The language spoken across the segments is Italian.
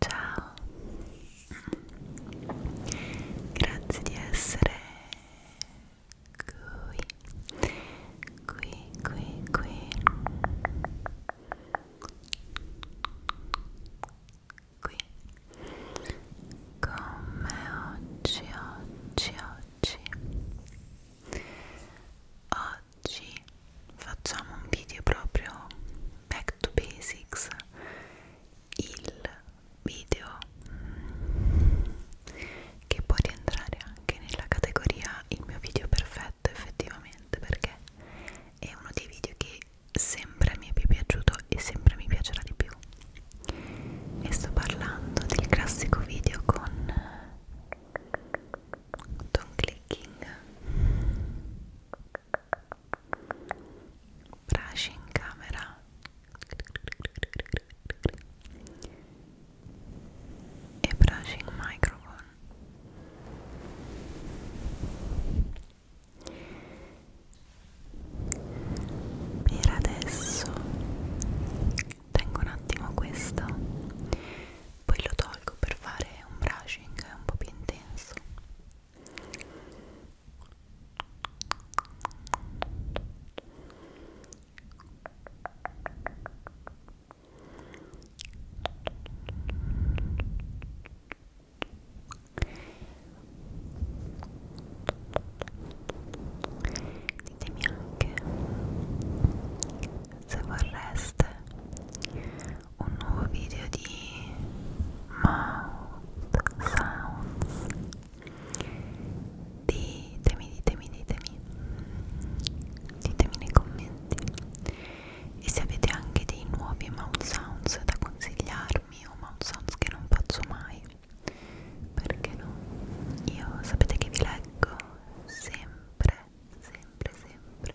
Ciao, grazie di essere qui, qui, qui, qui, qui, con me oggi, oggi, oggi, oggi facciamo un video proprio back to basics il video che può rientrare anche nella categoria il mio video perfetto effettivamente perché è uno dei video che sempre mi è più piaciuto e sempre mi piacerà di più e sto parlando del classico video con Don Clicking Braci in camera e braci in microphone. Per adesso tengo un attimo questo, poi lo tolgo per fare un brushing un po' più intenso Ditemi anche se vorreste un nuovo video di mouth sounds ditemi, ditemi, ditemi ditemi nei commenti e se avete anche dei nuovi mouth sounds da consigliarmi o mouth sounds che non faccio mai perché no? io sapete che vi leggo sempre sempre sempre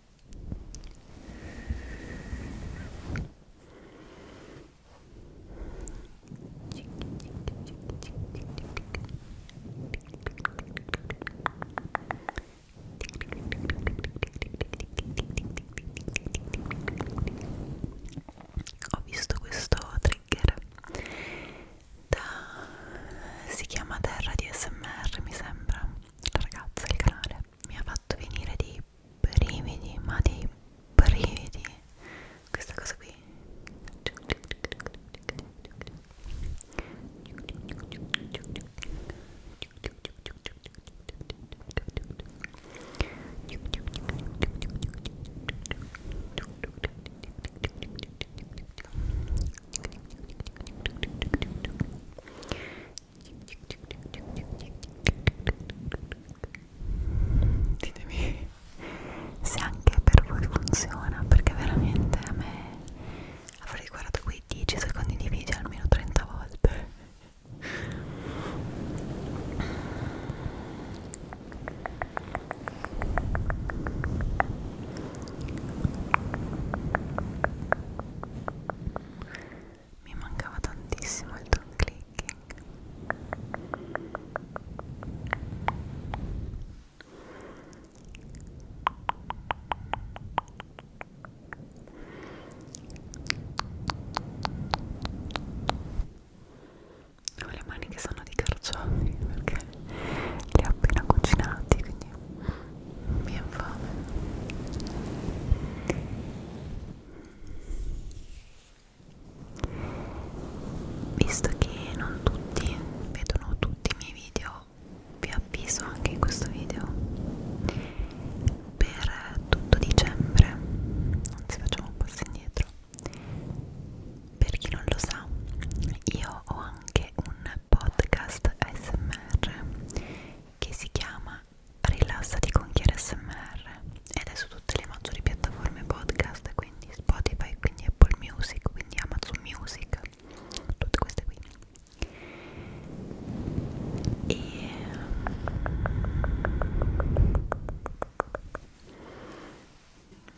Ho visto questo trigger da si chiama Terra di SMR mi sembra la ragazza il canale mi ha fatto venire dei brividi ma dei brividi questa cosa qui Ditemi se anche per voi funziona, perché veramente a me avrei guardato quei 10 secondi di video almeno 30 volte mi mancava tantissimo il tongue clicking ho le mani che sono di carciofi perché li ho appena cucinati quindi mi è infame visto che non tutti vedono tutti i miei video vi avviso anche in questo video per tutto dicembre anzi facciamo un passo indietro per chi non lo sa io ho anche un podcast smr che si chiama rilassati con Chiara SMR ed è su tutte le maggiori piattaforme podcast quindi Spotify, quindi Apple Music, quindi Amazon Music tutte queste qui e mm,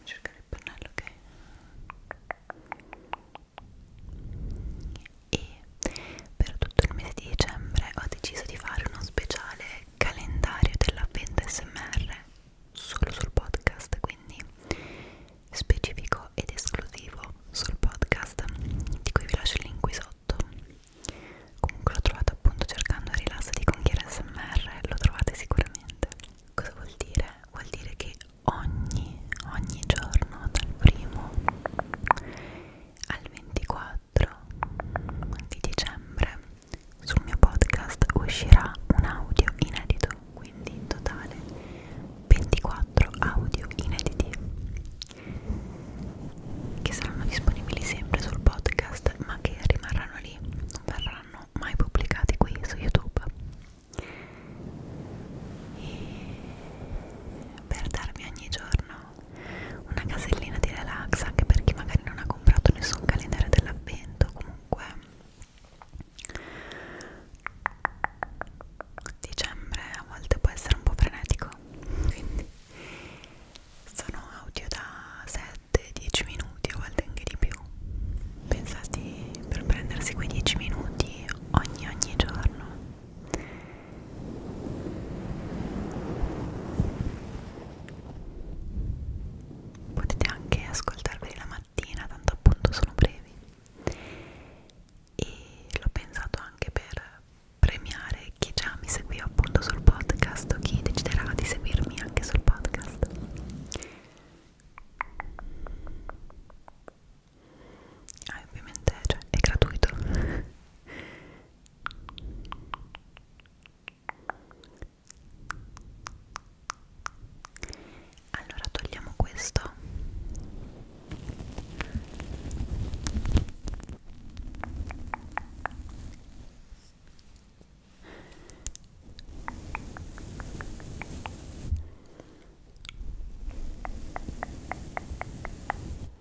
cercare il pannello ok e per tutto il mese di dicembre ho deciso di fare uno speciale calendario dell'avvento SMR solo sul podcast, quindi specifico ed esclusivo sul podcast, di cui vi lascio il link qui sotto. Comunque l'ho trovato appunto cercando rilassati con chi era SMR, lo trovate sicuramente. Cosa vuol dire? Vuol dire che ogni, ogni giorno dal primo al 24 di dicembre sul mio podcast uscirà un audio inedito, quindi in totale 24 audio inediti che saranno disponibili sempre sul podcast ma che rimarranno lì, non verranno mai pubblicati qui su YouTube. E per darmi ogni giorno una casellina di relax anche per chi magari non ha comprato nessun calendario dell'avvento comunque dicembre a volte può essere un po' frenetico quindi sono audio da 7-10 minuti a volte anche di più pensati per prendersi quei 10 minuti ogni ogni giorno potete anche ascoltarveli la mattina tanto appunto sono brevi e l'ho pensato anche per premiare chi già mi seguiva appunto sul podcast o chi deciderà di seguirmi anche sul podcast Ah, ovviamente cioè, è gratuito allora togliamo questo.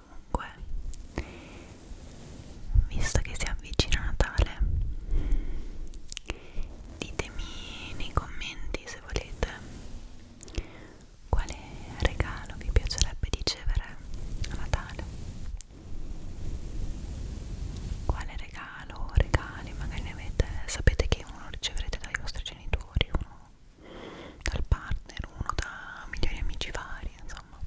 comunque visto che si avvicina Natale ditemi nei commenti se volete quale regalo vi piacerebbe ricevere a Natale quale regalo regali magari ne avete sapete che uno riceverete dai vostri genitori uno dal partner, uno da migliori amici vari, insomma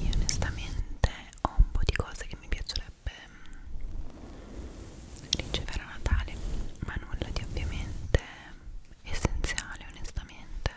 Io onestamente ho un po' di cose che mi piacerebbe mm, ricevere a Natale, ma nulla di ovviamente essenziale onestamente.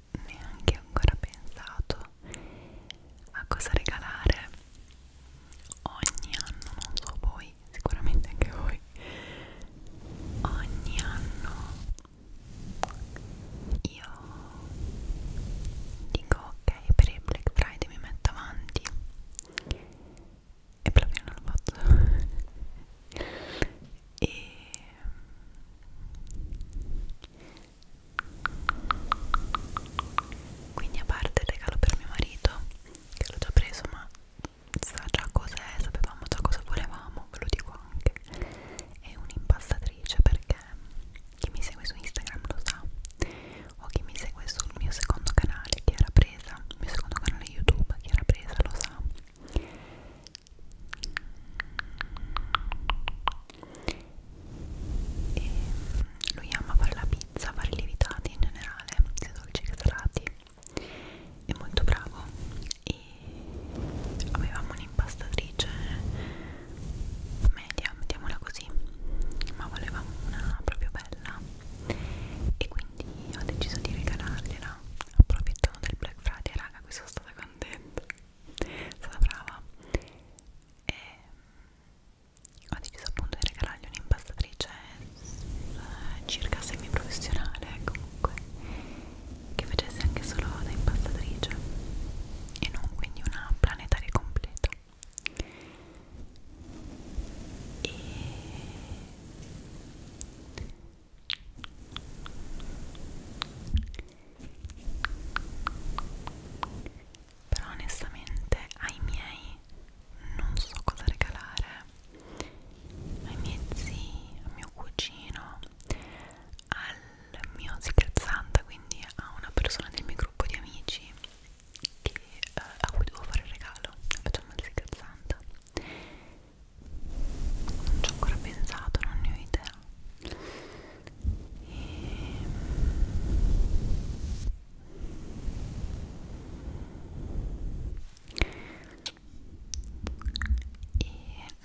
neanche ancora pensato a cosa regalare ogni anno, non so voi, sicuramente anche voi ogni anno io dico ok per il Black Friday mi metto avanti e proprio non lo faccio e quindi a parte il regalo per mio marito che l'ho già preso ma sa già cos'è sapevamo già cosa volevamo ve lo dico anche è un'impastatrice perché chi mi segue su Instagram lo sa o chi mi segue sul mio secondo canale che era presa il mio secondo canale YouTube che era presa lo sa e mm, lui ama fare la pizza, fare i lievitati in generale, sia dolci che salati è molto bravo e avevamo un'impastatrice media, mettiamola così ma volevamo una proprio bella e quindi ho deciso di regalargliela approfittando del Black Friday raga qui sono stata contenta sono stata brava e mm, ho deciso appunto di regalargli un'impastatrice eh, circa semiprofessionale comunque che facesse anche solo da impastatrice e non quindi una planetaria completa e però onestamente ai miei non so cosa regalare ai miei zii, a mio cugino al mio scherzante quindi a una persona del mio gruppo di amici che, eh, a cui devo fare il regalo facciamo il scherzante non ci ho ancora pensato, non ne ho idea e, e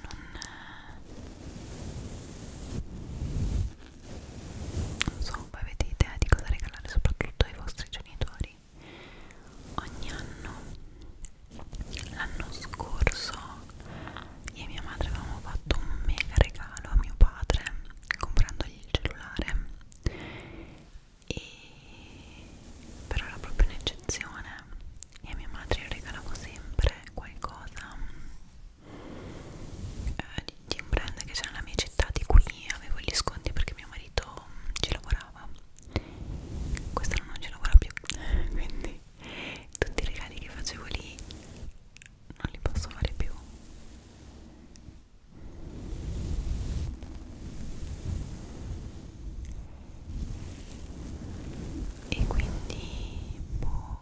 non, non so voi avete idea di cosa regalare soprattutto ai vostri genitori ogni anno l'anno scorso io e mia madre avevamo fatto un mega regalo a mio padre comprandogli il cellulare e però era proprio un'eccezione e a mia madre regalavo sempre qualcosa eh, di, di un brand che c'è nella mia città di qui avevo gli sconti perché mio marito ci lavorava quest'anno non ci lavora più quindi tutti i regali che facevo lì non li posso fare più e quindi boh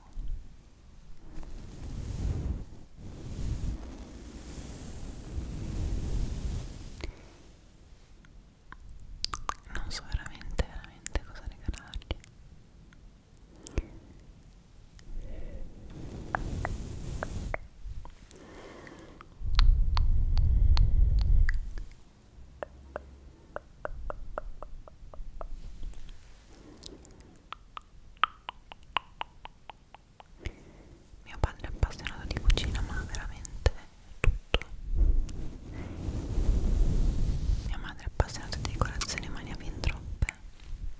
non so veramente veramente cosa regalargli mio padre è appassionato di cucina, ma veramente tutto. Mia madre è appassionata di decorazioni, ma ne ha fin troppe.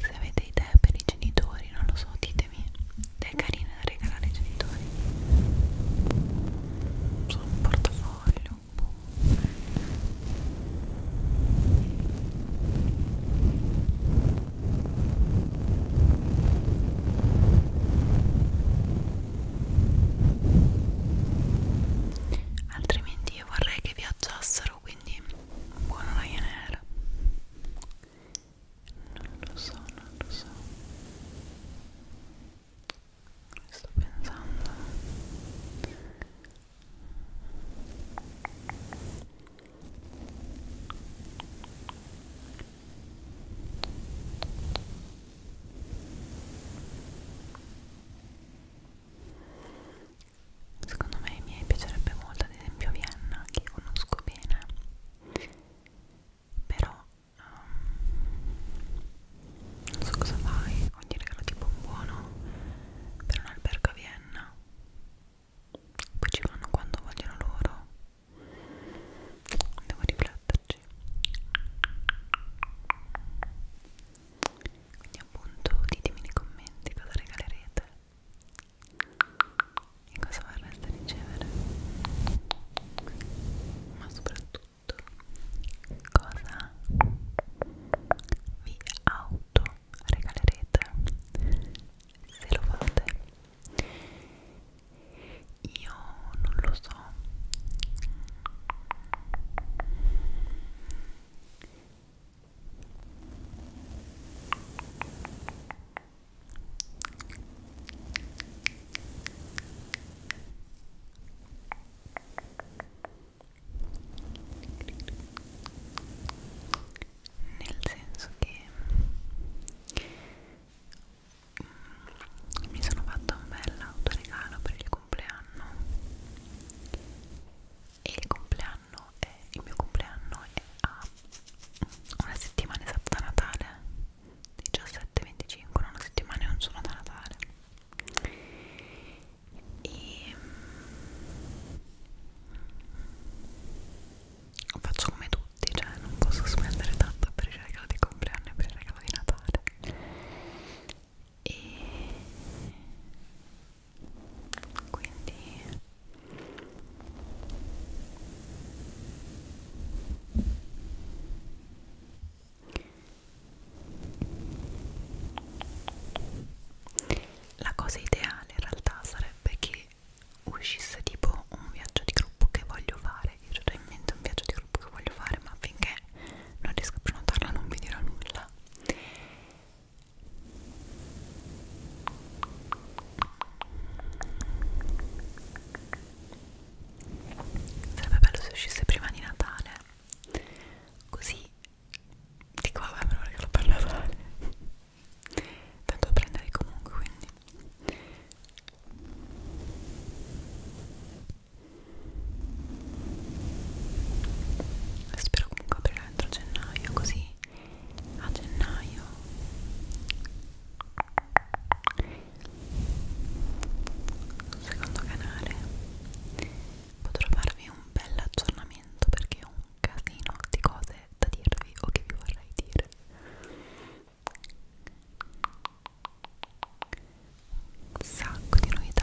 Se avete idee per i genitori, non lo so, ditemi. È carina da regalare ai genitori. Sono un portafoglio. Boh altrimenti io vorrei che viaggiassero quindi buon Ryanair non lo so, non lo so sto pensando Secondo me mi piacerebbe molto ad esempio Vienna che conosco bene però um, non so cosa fai, ogni regalo tipo un buono per un albergo a Vienna poi ci vanno quando vogliono loro devo rifletterci quindi appunto ditemi nei commenti cosa regalerete e cosa vorreste ricevere ma soprattutto cosa vi augurate prodotto regalerete se lo fate io non lo so nel senso che mm, mi sono fatta un bel autoregalo per il compleanno e il compleanno è, il mio compleanno è a una settimana esatta da Natale 17-25 non una settimana e un giorno da Natale e mm, faccio come tutti, cioè non posso spendere tanto per il regalo di compleanno e per il regalo di Natale e quindi la cosa ideale in realtà sarebbe che uscisse tipo un viaggio di gruppo che voglio fare io ho in mente un viaggio di gruppo che voglio fare ma finché non riesco a prenotarla non vi dirò nulla sarebbe bello se uscisse prima di Natale così dico vabbè me lo regalo per Natale tanto a prendere comunque quindi spero comunque aprirà entro gennaio così a gennaio secondo canale potrò farvi un bel aggiornamento perché ho un casino di cose da dirvi o che vi vorrei dire un sacco di novità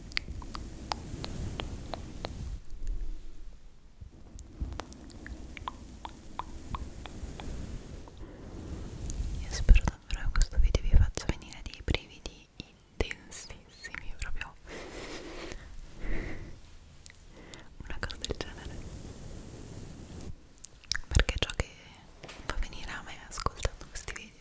Io spero davvero che questo video vi faccia venire dei brividi intensissimi, proprio una cosa del genere. Perché ciò che fa venire a me ascoltando questi video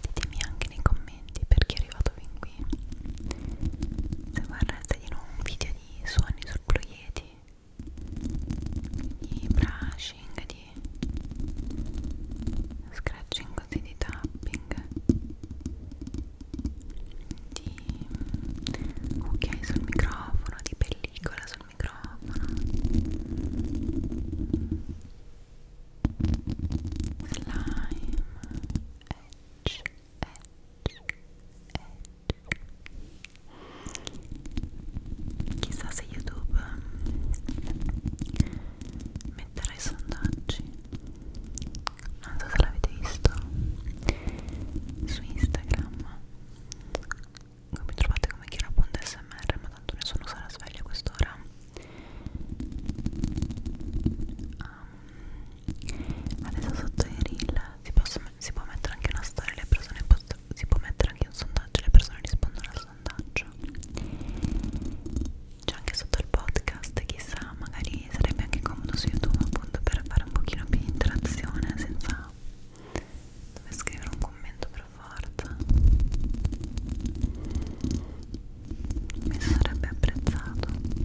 Ditemi anche nei commenti perché è arrivato fin qui. Se vorreste di nuovo un video di suoni sul Blue Yeti, di brushing, di scratching così, di tapping, di cucchiai sul microfono, di pellicola sul microfono slime edge edge edge chissà se youtube mm, metterà i sondaggi non so se l'avete visto su instagram non mi trovate come chiara.smr ma tanto nessuno sarà sveglio a quest'ora um, adesso sotto i reel si, posso, si può mettere anche una storia le persone si può mettere anche un sondaggio le persone rispondono al sondaggio c'è anche sotto il podcast chissà magari sarebbe anche comodo su youtube appunto per fare un pochino più di interazione senza dove scrivere un commento però forza mi sarebbe apprezzato Grazie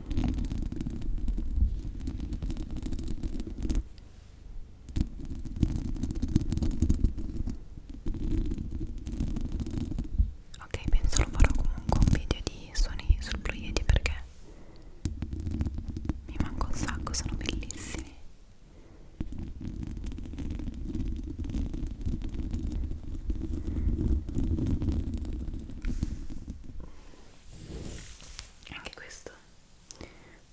Ok, penso lo farò comunque un video di suoni sul Blue Yeti perché mi manca un sacco, sono bellissimi anche questo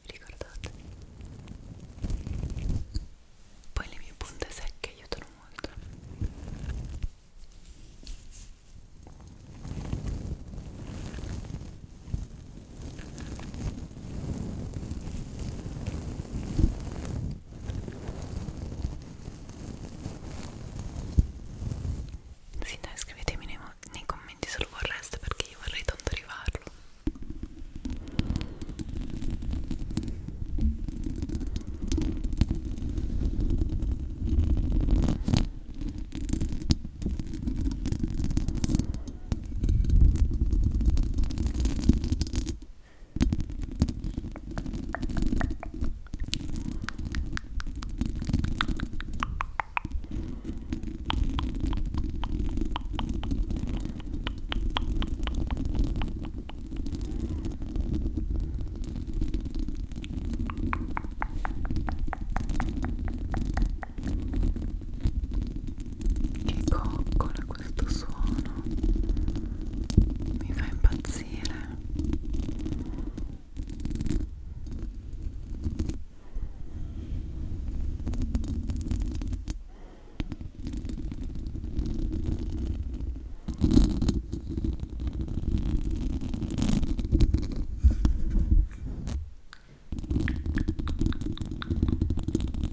ricordate poi le mie punte secche aiutano molto sì dai scrivetemi nei, nei commenti se lo vorreste perché io vorrei tanto arrivarlo che coccola questo suono mi fa impazzire e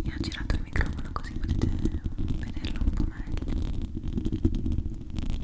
ho girato il microfono così potete vederlo un po' meglio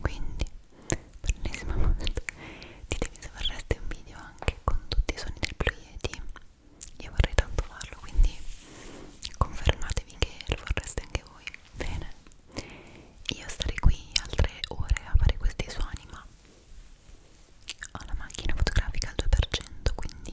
quindi per l'ennesima volta ditemi se vorreste un video anche con tutti i suoni del Ploieti io vorrei tanto farlo quindi confermatevi che lo vorreste anche voi bene io starei qui altre ore a fare questi suoni ma ho la macchina fotografica al 2% quindi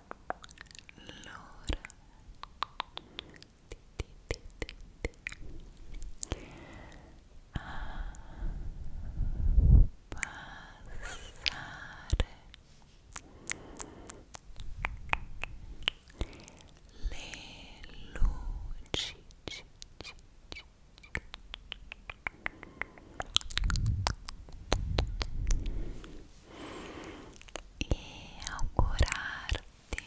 l'ora passare le luci e augurarti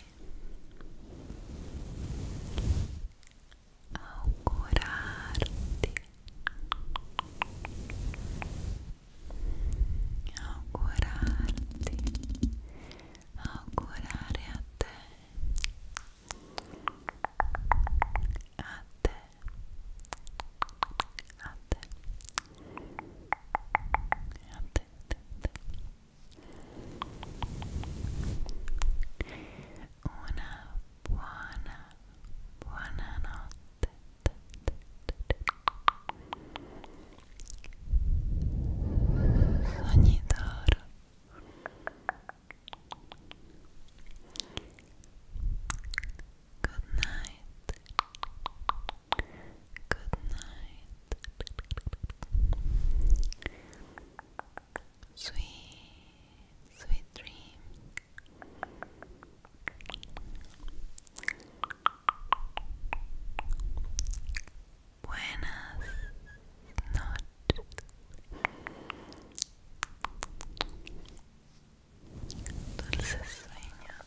augurarti augurarti augurare a te a te a te At una buona, buona notte. Good night. Good night. Sweet, sweet dream. Buenas noches. Dulces sueños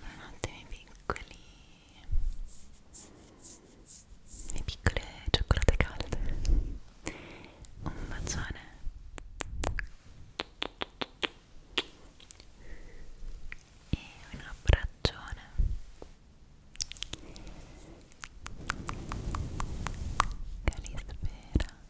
Buonanotte miei piccoli miei piccole cioccolate calde un bacione e un abbraccione Calispera